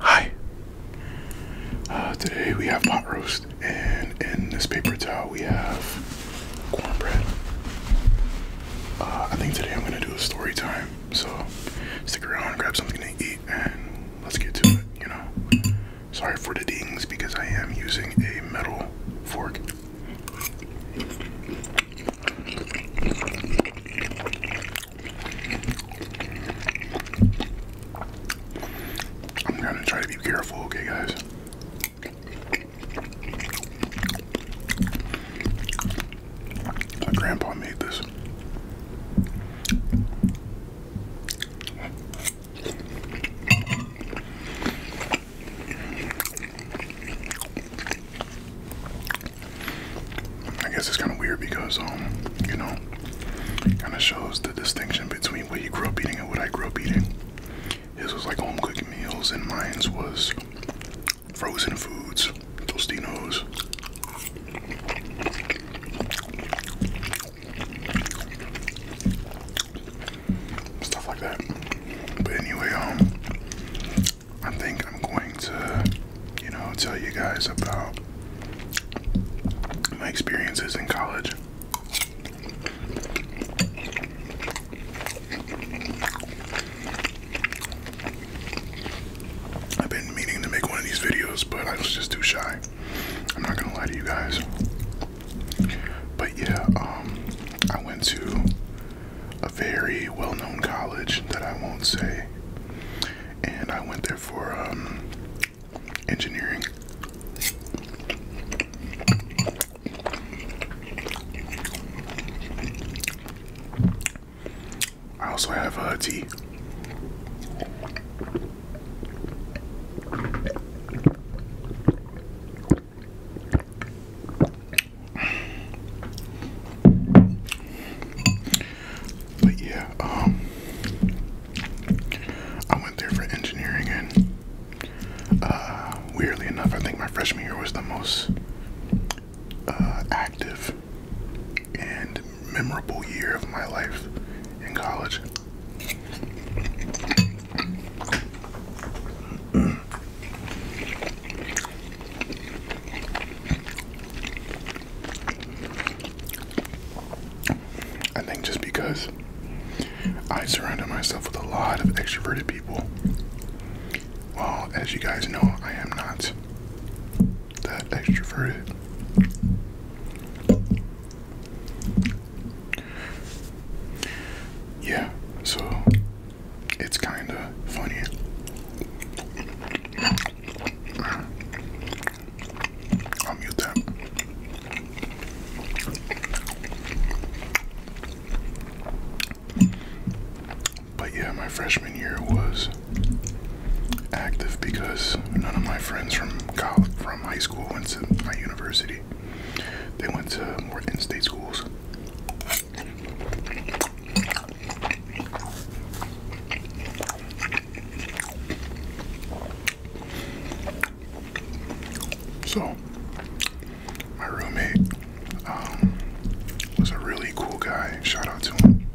Hi. Uh, today we have pot roast, and in this paper towel we have cornbread. Uh, I think today I'm gonna do a story time, so stick around, grab something to eat, and let's get to it. You know, sorry for the dings because I am using a metal fork. I'm gonna try to be careful, okay, guys? My grandpa made this. I guess it's kind of weird because, um, you know, it kind of shows the distinction between what you grew up eating and what I grew up eating. This was like home cooked meals, and mine's was frozen foods, Tostinos. Stuff like that. But anyway, um, I think I'm going to, you know, tell you guys about my experiences in college. I've been meaning to make one of these videos, but I was just too shy. I'm not gonna lie to you guys. But yeah, um, I went to a very well-known college that I won't say, and I went there for um, engineering. I also have a uh, tea. But yeah, um, I went there for engineering, and uh, weirdly enough, I think my freshman year was the most uh, active and memorable year of my life in college. I think just because I surround myself with a lot of extroverted people. Well, as you guys know, I am not that extroverted. Yeah, so it's kind of funny. I'll mute that. But yeah, my freshman year was active because none of my friends from from high school went to my university. They went to more in-state schools. So, my roommate um, was a really cool guy. Shout out to him.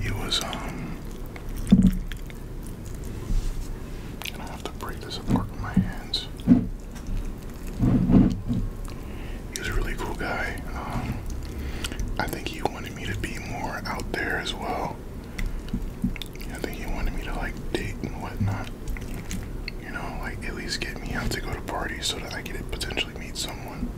He was, um, and I have to break this apart with my hands. He was a really cool guy. Um, I think he wanted me to be more out there as well. I think he wanted me to like date and whatnot. You know, like at least get me out to go to parties so that I could potentially meet someone.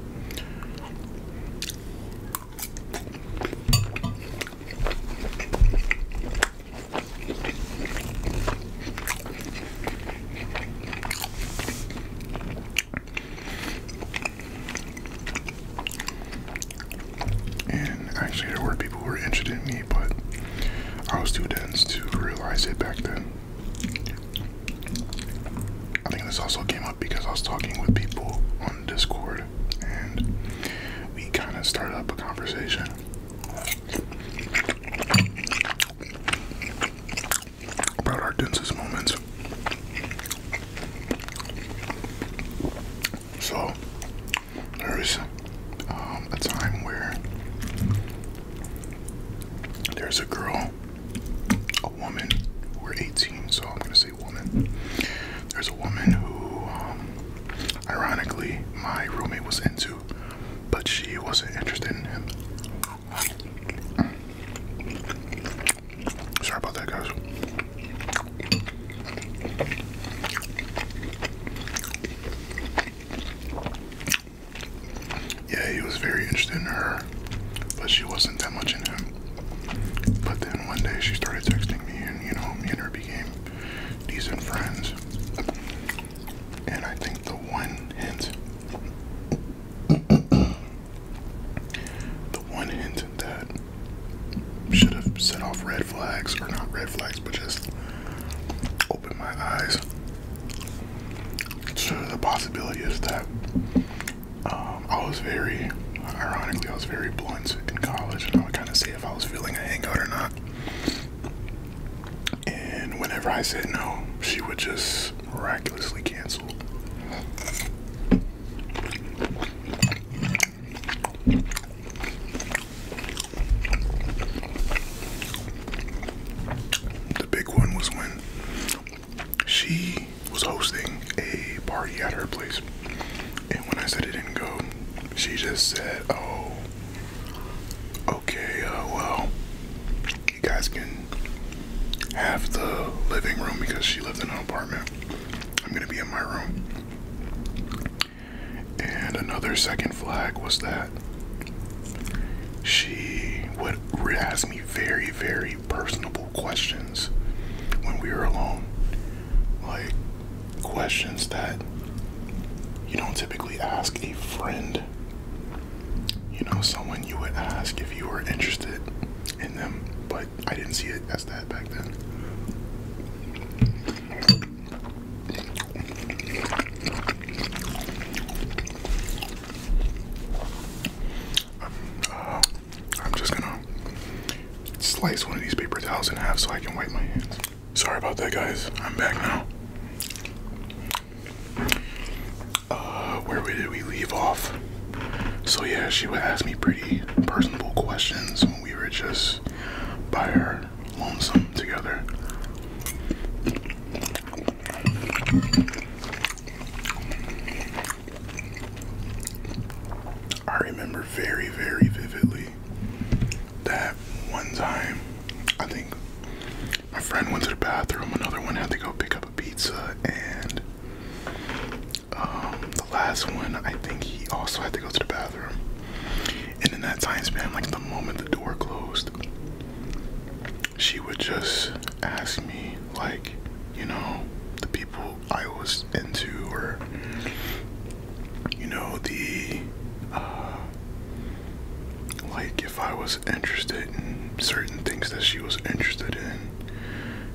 And actually, there were people who were interested in me, but I was too dense to realize it back then. I think this also came up because I was talking with people on Discord and we kind of started up a conversation about our densest moments. So there's um, a time where there's a girl, a woman. We're 18, so I'm gonna say woman. There's a woman who, um, ironically, my roommate was into but she wasn't interested in him. Sorry about that, guys. Yeah, he was very interested in her, but she wasn't that much in him. But then one day she started texting me, and you know, me and her became decent friends. And I think the one hint, the one hint that should have set off red flags, or not red flags, but just opened my eyes to the possibility is that um, I was very, ironically, I was very blunt in college, and I would kind of see if I was feeling a hangout or not. And whenever I said no, she would just miraculously cancel. The big one was when she was hosting a party at her place and when I said it didn't go, she just said, "Oh, okay. Uh, well, you guys can have the living room because she lived in an apartment. I'm gonna be in my room." And another second flag was that she would ask me very, very personable questions when we were alone, like questions that you don't typically ask a friend. You know, someone you would ask if you were interested in them, but I didn't see it as that back then. Um, uh, I'm just gonna slice one of these paper towels in half so I can wipe my hands. Sorry about that, guys. I'm back now. Uh, where did we leave off? So yeah, she would ask me pretty personable questions when we were just by her lonesome together. I remember very, very vividly that one time, I think my friend went to the bathroom, another one had to go pick up a pizza, and um, the last one, I think he also had to go to the bathroom. And in that time span, like the moment the door closed, she would just ask me, like, you know, the people I was into, or you know, the uh, like if I was interested in certain things that she was interested in.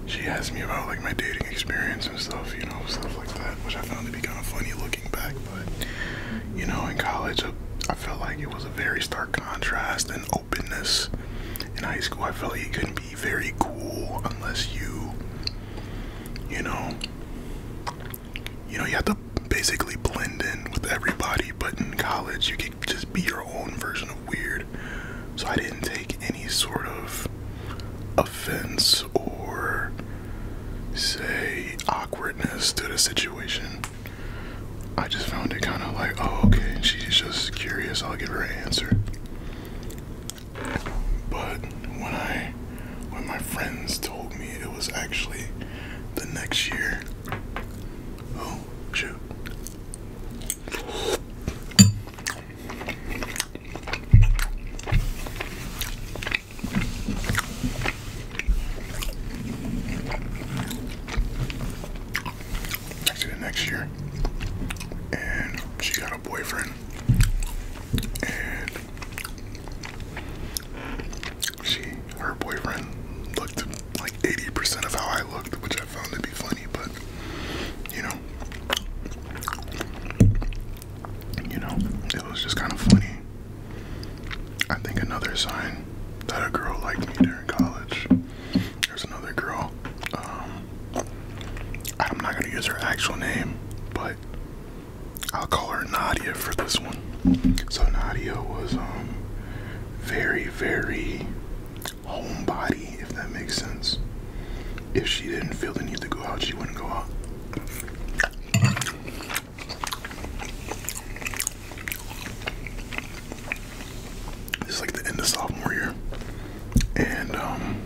She asked me about like my dating experience and stuff, you know, stuff like that, which I found to be kind of funny looking back. But you know, in college, I, felt like it was a very stark contrast and openness. In high school, I felt like it couldn't be very cool unless you, you know, you know, you have to basically blend in with everybody. But in college, you could just be your own version of weird. So I didn't take any sort of offense or say awkwardness to the situation. I just found it kind of like, oh, okay, she's just curious. I'll give her an answer. But when I when my friends told me it was actually the next year. Oh shoot. the next year. And she got a boyfriend and she, her boyfriend, looked like 80% of how I looked, which I found to be funny, but you know, you know, it was just kind of funny. I think another sign that a girl liked me during college. There's another girl. Um, I'm not gonna use her actual name, but I'll call her Nadia for this one. So Nadia was um, very, very homebody, if that makes sense. If she didn't feel the need to go out, she wouldn't go out. It's like the end of sophomore year, and um,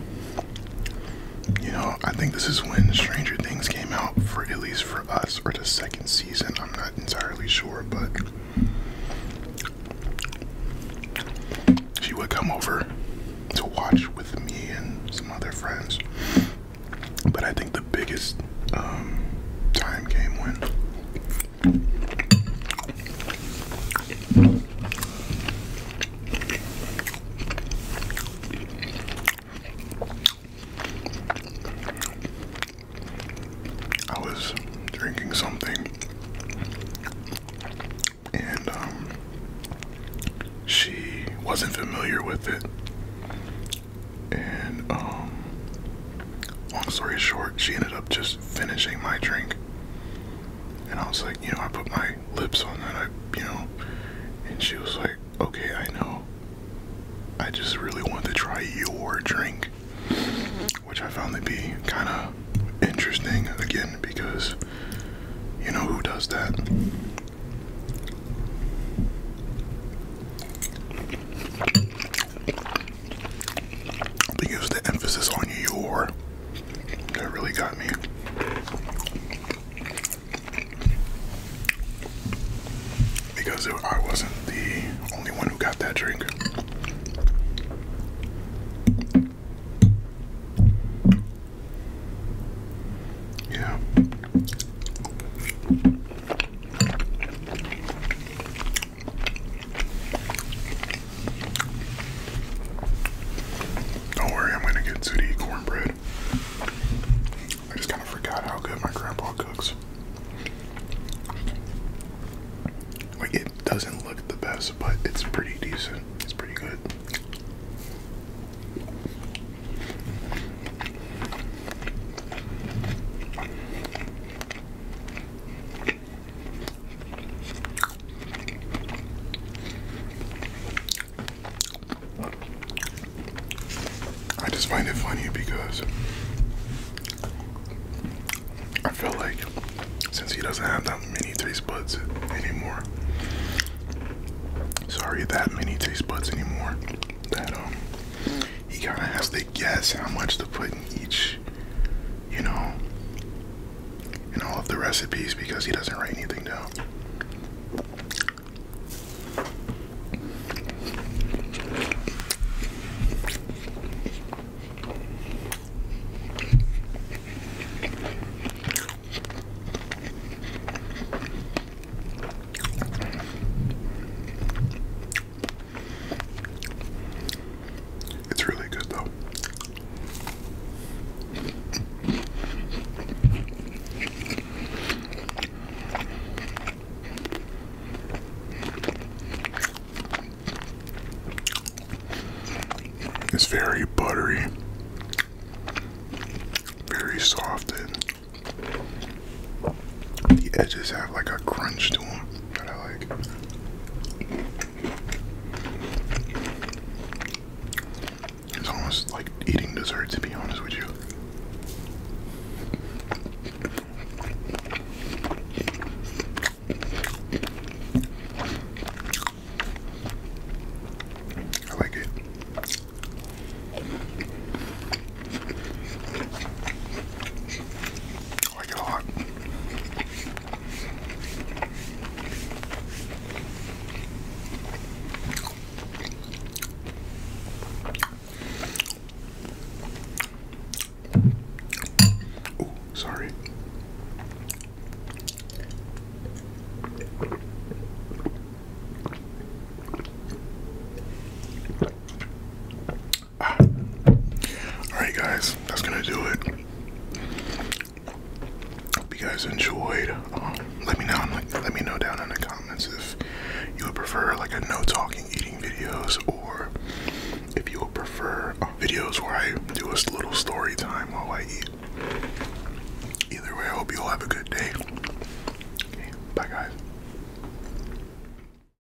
you know, I think this is when Stranger Things came out for at least for us, or the second season. I'm not entirely sure, but she would come over to watch with me and some other friends. But I think the biggest um, time came when I was drinking something, and um, she wasn't familiar with it. And um, long story short, she ended up just finishing my drink. And I was like, you know, I put my lips on that, I, you know, and she was like, okay, I know. I just really wanted to try your drink, mm-hmm. which I found to be kind of interesting again because, you know, who does that? I think the emphasis on your. That really got me. Because I wasn't the only one who got that drink. Yeah. Don't worry, I'm gonna get to eat cornbread. I just kind of forgot how good my grandpa cooks. Like, it doesn't look the best, but it's pretty decent. It's pretty good. I just find it funny because I feel like since he doesn't have that many taste buds anymore, sorry, that many taste buds anymore, that um, he kind of has to guess how much to put in each you know, in all of the recipes because he doesn't write anything down. It's really good though. It's very buttery, very soft, and the edges have like a crunch to them that I like. It's almost like eating dessert, to be honest with you. I like it or your heart. sorry. All right, guys, that's gonna do it. Hope you guys enjoyed. Um, let me know. Let me know down in the comments if you would prefer like a no talking eating videos, or if you would prefer um, videos where I do a little story time while I eat. Either way, I hope you all have a good day. bye, guys.